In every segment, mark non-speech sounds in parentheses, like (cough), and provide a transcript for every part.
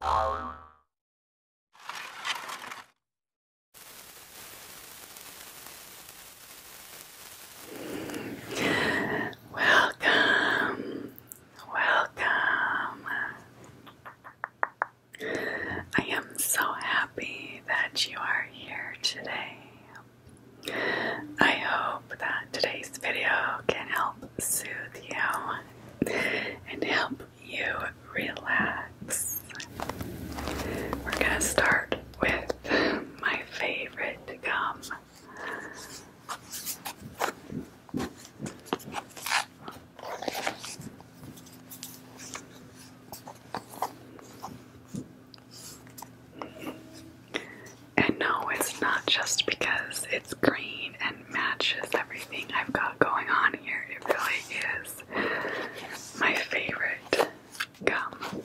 Welcome, welcome. I am so happy that you are here today. I hope that today's video can help soothe you and help you relax. We're gonna start with my favorite gum. And no, it's not just because it's green matches everything I've got going on here. It really is my favorite gum.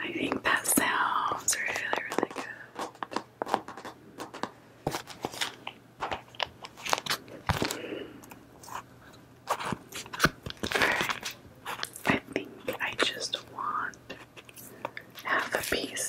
I think that sounds really, really good. I think I just want half a piece.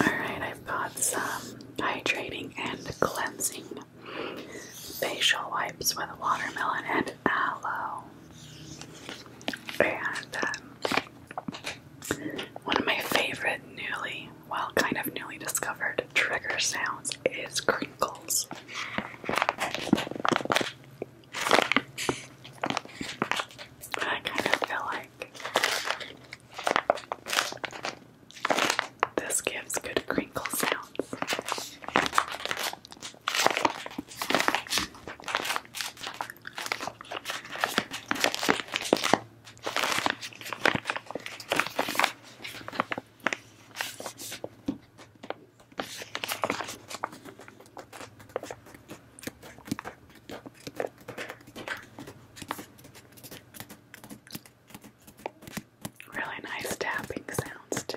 Alright, I've got some hydrating and cleansing facial wipes with watermelon and aloe. And um, one of my favorite newly, well, kind of newly discovered trigger sounds is crinkles. I kind of feel like this gives good crinkle sounds. Really nice tapping sounds, too.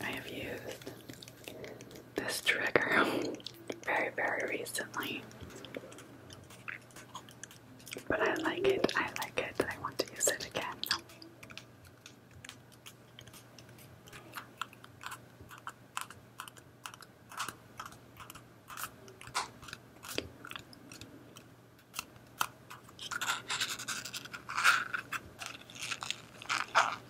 I have used this trigger (laughs) very, very recently. But I like it, I like it, I want to use it again.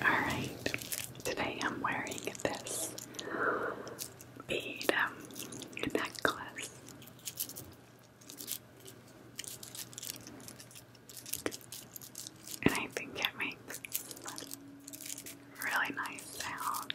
All right, today I'm wearing this bead um, necklace. And I think it makes really nice sounds.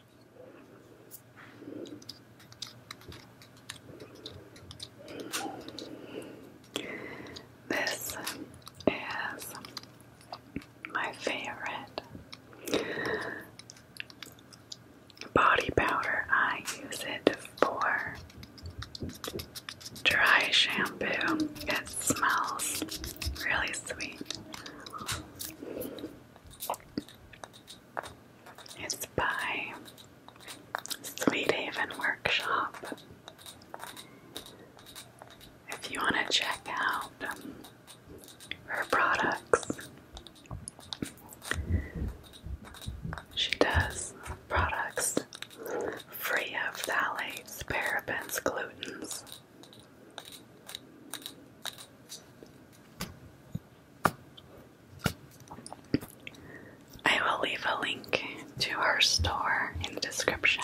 This is my favorite body powder. I use it for dry shampoo. It smells really sweet. It's by Sweet Haven Workshop. If you want to check out um, her products, she does products free of phthalates, parabens, glutens. I will leave a link to her store in the description.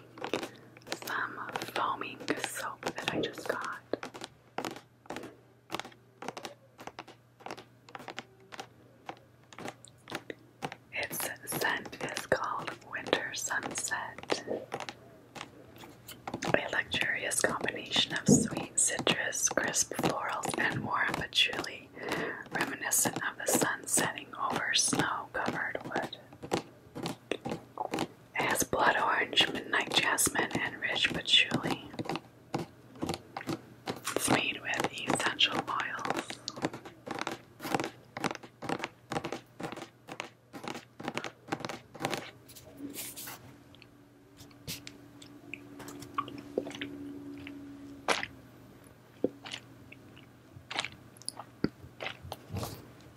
some foaming soap that I just got. Its scent is called Winter Sunset. A luxurious combination of sweet citrus, crisp florals, and warm patchouli, reminiscent of the sun setting over snow covered wood. It has blood orange, midnight jasmine, and rich patchouli. It's made with essential oils.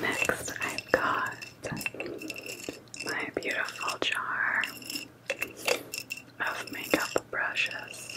Next, I've got my beautiful jar of makeup brushes.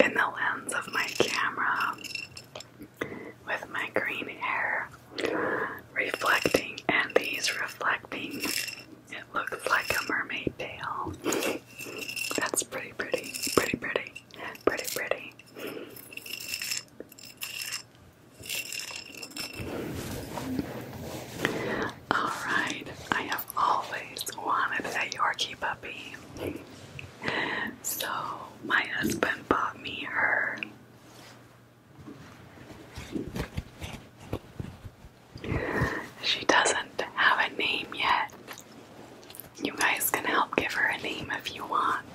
In the lens of my camera, with my green hair reflecting, and these reflecting, it looks like a mermaid tail. That's pretty, pretty, pretty, pretty, pretty, pretty. Alright, I have always wanted a Yorkie puppy. So my husband bought me her. She doesn't have a name yet. You guys can help give her a name if you want.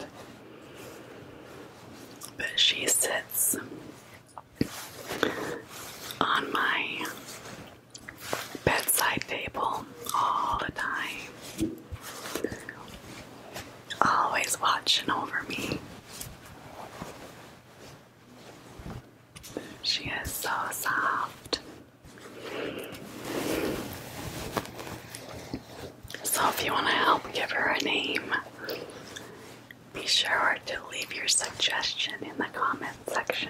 But she sits on my bedside table all the time, always watching over me. She is so soft. So, if you want to help give her a name, be sure to leave your suggestion in the comments section.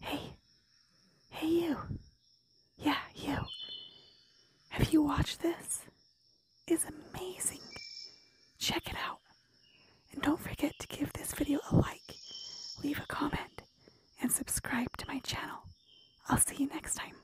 Hey. Hey, you. Yeah, you. Have you watched this? It's amazing. Check it out. And don't forget to give this video a like, leave a comment, and subscribe to my channel. I'll see you next time.